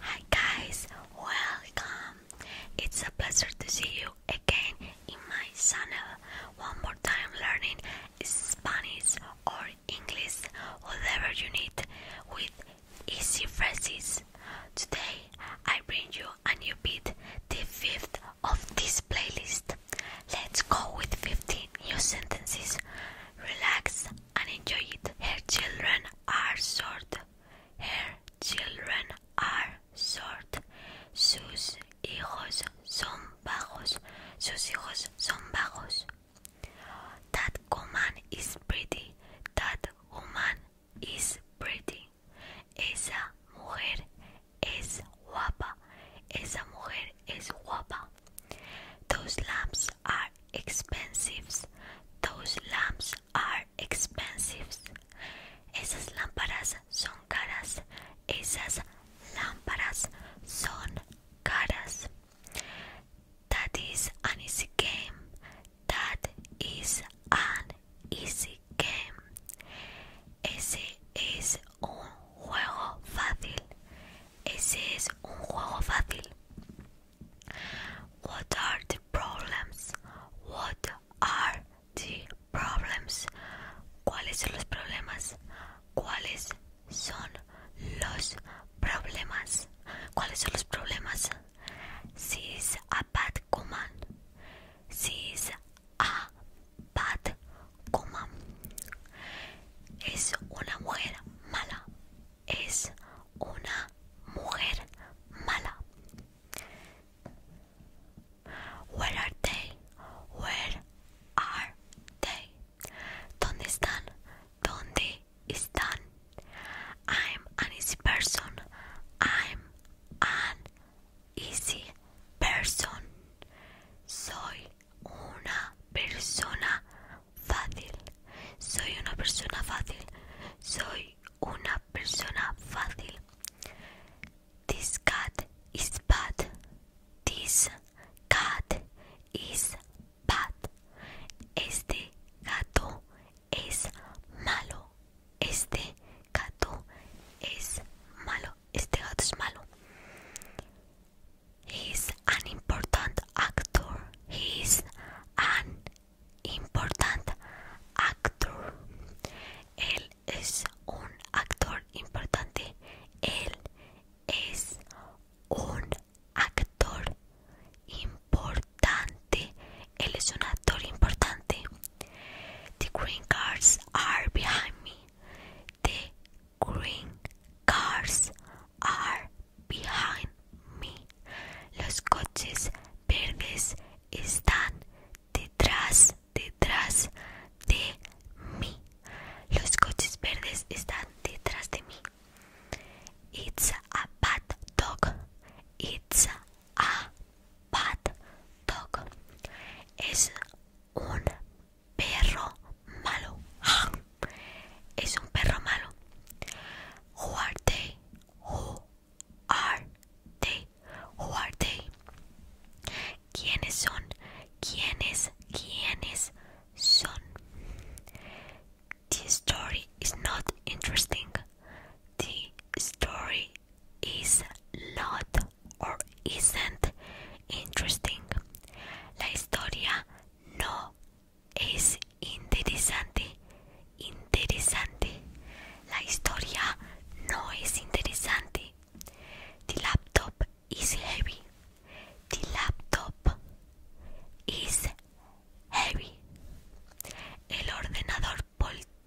Hi guys, welcome! It's a pleasure to see you again in my channel. One more time learning Spanish or English, whatever you need, with easy phrases. Today I bring you a new beat, the fifth of this playlist. Let's go with 15 new sentences. Relax and enjoy it. Her children are short her children are short, sus hijos son bajos, sus hijos son bajos. That woman is pretty, that woman is pretty. Esa mujer es guapa, esa mujer es guapa. Those lamps are expensive, those lamps are expensive. Esas lámparas son caras. Esas lámparas son caras. That is an easy game. That is an easy game. Ese es un juego fácil. Ese es un juego fácil. What are the problems? What are the problems? ¿Cuáles son los problemas? ¿Cuáles son los problemas? ¿Cuáles son los problemas? She a bad woman. She a bad woman. Es una mujer mala es una mujer mala. Where are they? Where are they? ¿Dónde están? ¿Dónde están? I'm an easy person. I'm an easy person. Soy una persona fácil. Soy una persona fácil. Soy una persona fácil. This cat is bad. This cat is bad. Este gato es malo. Este gato es malo. Este gato es malo. He is an important actor. He is an importante actor. Él es un actor importante. Él es un actor importante. Él es un actor importante. The green cars are behind me. The green cars are behind los coches verdes están detrás, detrás de mí. Los coches verdes están detrás de mí. It's a bad dog. It's a bad dog. Es un perro malo. Es un perro malo. Who are they? Who are they? ¿Quiénes son? ¿Quiénes? ¿Quiénes son? The story is not interesting. The story is not or isn't interesting. La historia no es interesante, interesante. La historia no es interesante. The laptop is heavy. The laptop is heavy. El ordenador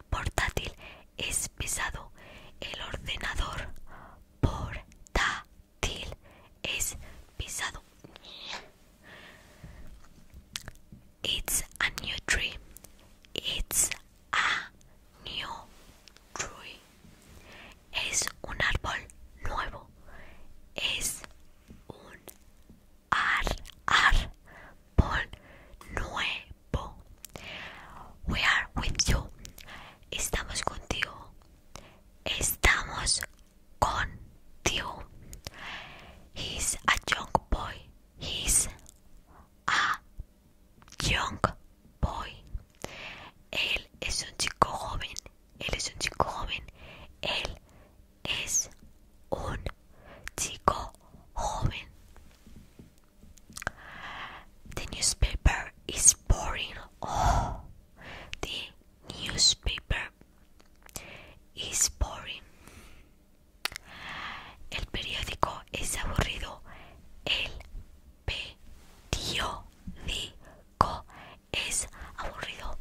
portátil es pesado. El ordenador portátil es pesado. It's a new tree. It's a new tree. Es un árbol nuevo. Es un árbol nuevo. We are with you. Estamos contigo. Estamos contigo. He's a young boy. He's a young boy. Él es un chico joven. Él es un chico joven. Él es un chico joven. The newspaper is boring. Oh, the newspaper is boring. El periódico es aburrido. El periódico es aburrido.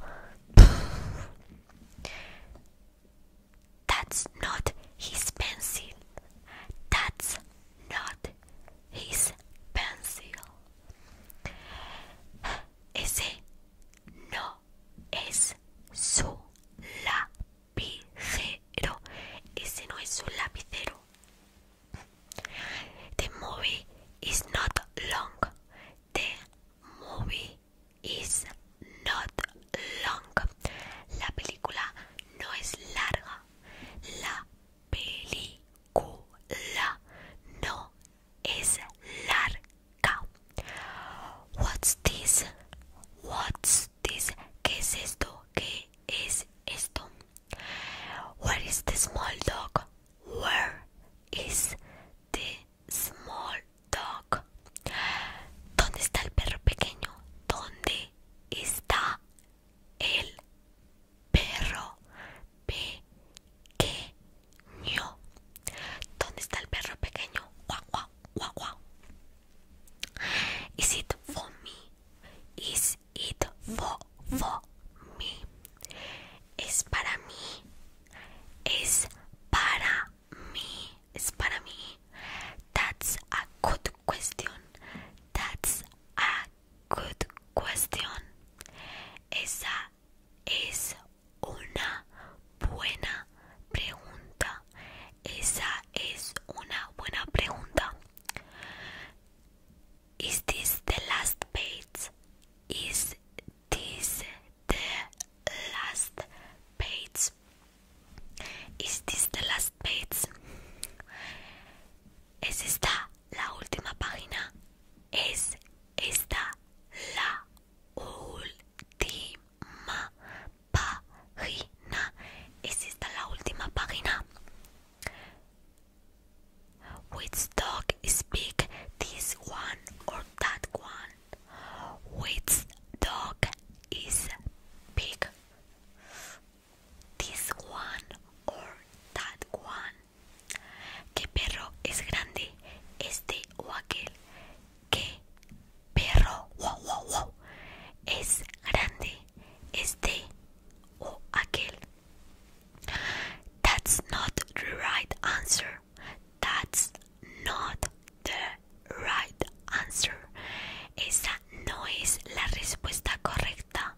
That's not his pencil. That's not his pencil. Ese no es su lápiz. Ese no es un lapicero. The movie is not long. The movie is not long. La película no es larga. La película no es larga. What's this? What's this? ¿Qué es esto? ¿Qué es esto? Where is the small dog? Where is the small dog? ¿Dónde está el perro pequeño? ¿Dónde está el perro pequeño? ¿Dónde está el perro pequeño? Guau, guau, guau, guau. Is it for me? Is it for for me? Is para mí. Es para mí. Es para mí. That's a good question. That's a good question. Esa es una buena pregunta. Esa es una buena pregunta. Is this the last page? Is this the last page? Is this the last page? ¿Es esta la última página? ¿Es esta la última Ma página. ¿Es esta la última página? Which dog is big? this one or that one? Which dog is big? This one or that one? ¿Qué perro es grande? Este o aquel qué perro wow, wow, es grande, este o aquel. That's not the right answer. That's not the right answer. Esa no es la respuesta correcta.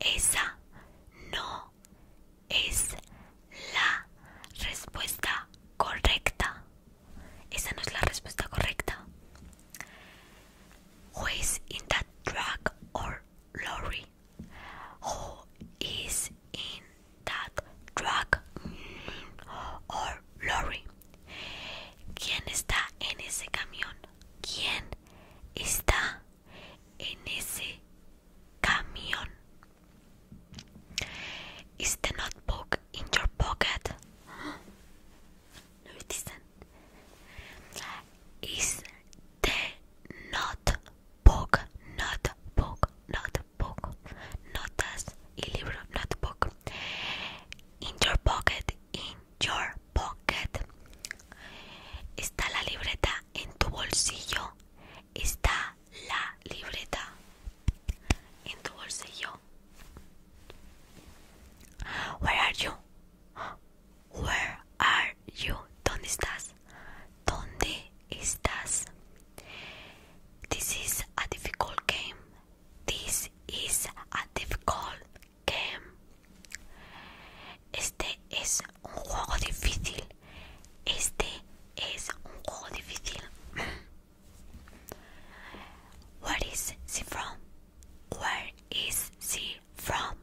Esa no es la respuesta correcta. Esa no es la respuesta correcta. Who is in that truck or lorry? Who is in that truck or lorry? ¿Quién está en ese camión? ¿Quién está en ese camión? Is the notebook in your pocket? it isn't. Is the not book, not book, not book, notas y libro, not book. In your pocket, in your pocket. Está la libreta en tu bolsillo. Está la libreta En tu bolsillo. Where are you? Where are you? ¿Dónde estás? ¿Dónde estás? This is a difficult game. This is a difficult game. Este es un juego difícil. Este es un juego difícil. Where is she from? Where is she from?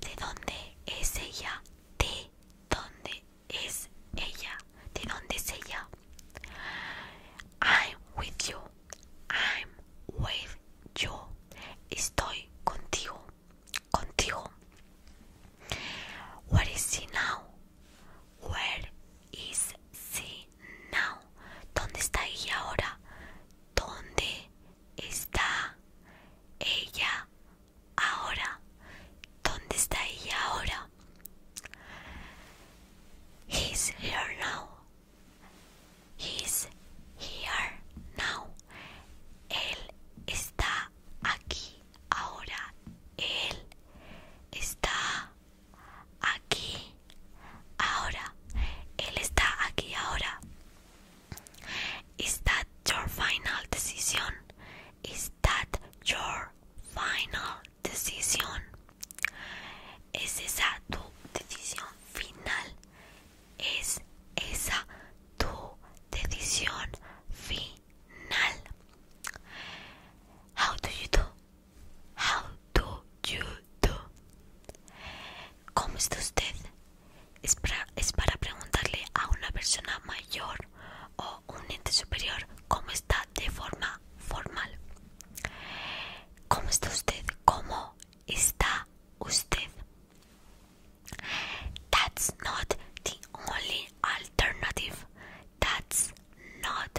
¿De dónde es ella? ¿De dónde es ella? ¿De dónde es ella? I'm with you. I'm with you. Estoy contigo. Contigo. Where is she now? Where is she now? ¿Dónde está ella ahora? ¿Dónde está ella ahora? ¿Dónde está ella ahora? He's here now. He's here now. Él está aquí ahora. Él está aquí ahora él está aquí ahora is that your final decision is that your final decision es esa tu decisión final es esa tu decisión final how do you How do you do? ¿Cómo usted? Es para, es para preguntarle a una persona mayor o un ente superior cómo está de forma formal. ¿Cómo usted? ¿Cómo usted? That's not the only alternative. That's not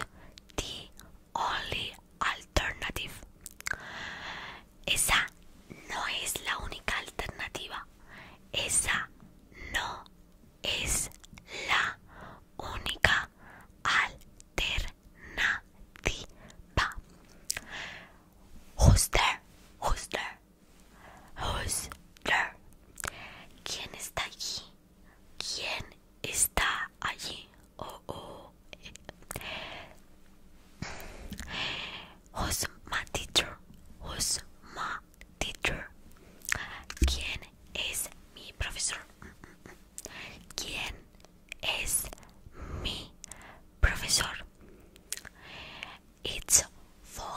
the only alternative. Esa no es la única alternativa. Esa no es la única alternativa. ¿Quién está allí? ¿Quién está allí? Oh, oh. Who's my teacher? Who's my teacher? ¿Quién es mi profesor? ¿Quién es mi profesor? It's for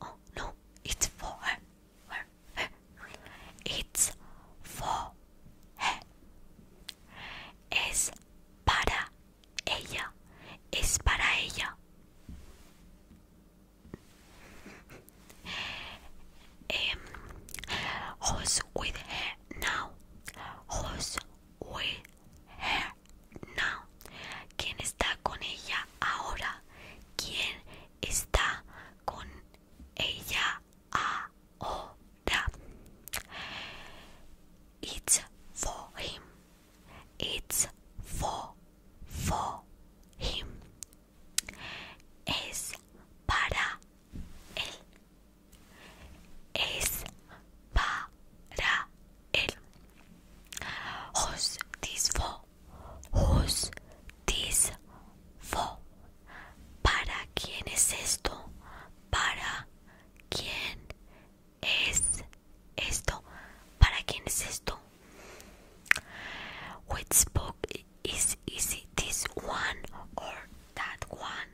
Oh, no, it's for It's for her. Es para ella. Es para ella. Em, who's with her now? Who's with her now? ¿Quién está con ella ahora? ¿Quién está con ella ahora. It's for him. It's for for him. Es para él. Es para él. Who's this for? Who's fo. ¿Para quién es esto? ¿Para quién es esto? ¿Para quién es esto? Which book is easy? this one or that one?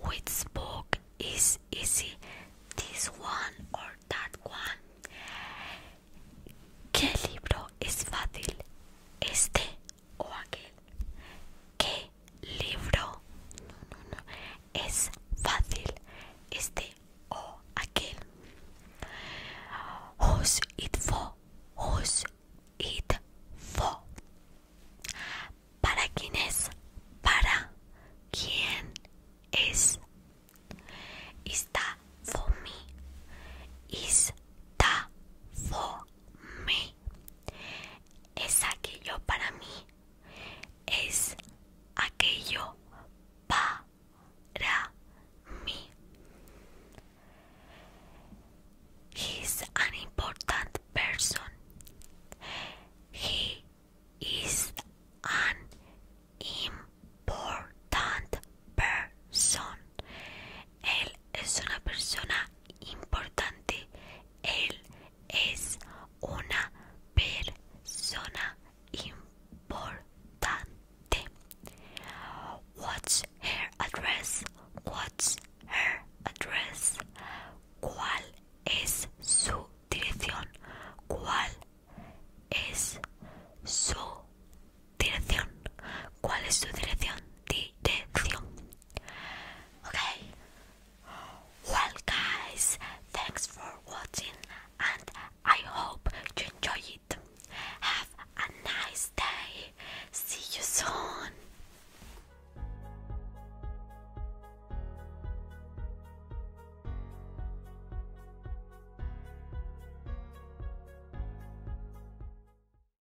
Which book is easy? this one or that one? ¿Qué libro es fácil? Este o aquel. ¿Qué libro? No, Es fácil. Este o aquel. Who's it for? Who's it for? ¿Para quién es? ¿Para quién es? Está for me. Está for me. es aquello para mí, es aquello para mí. He's an important person. He is an important person. Él es una persona importante. Él es una persona importante. What's her address? What's her address? ¿Cuál es su dirección? ¿Cuál es su dirección? ¿Cuál es su dirección? Dirección. Okay. Well, guys, thanks for watching, and I hope you enjoy Have a nice day. See you soon.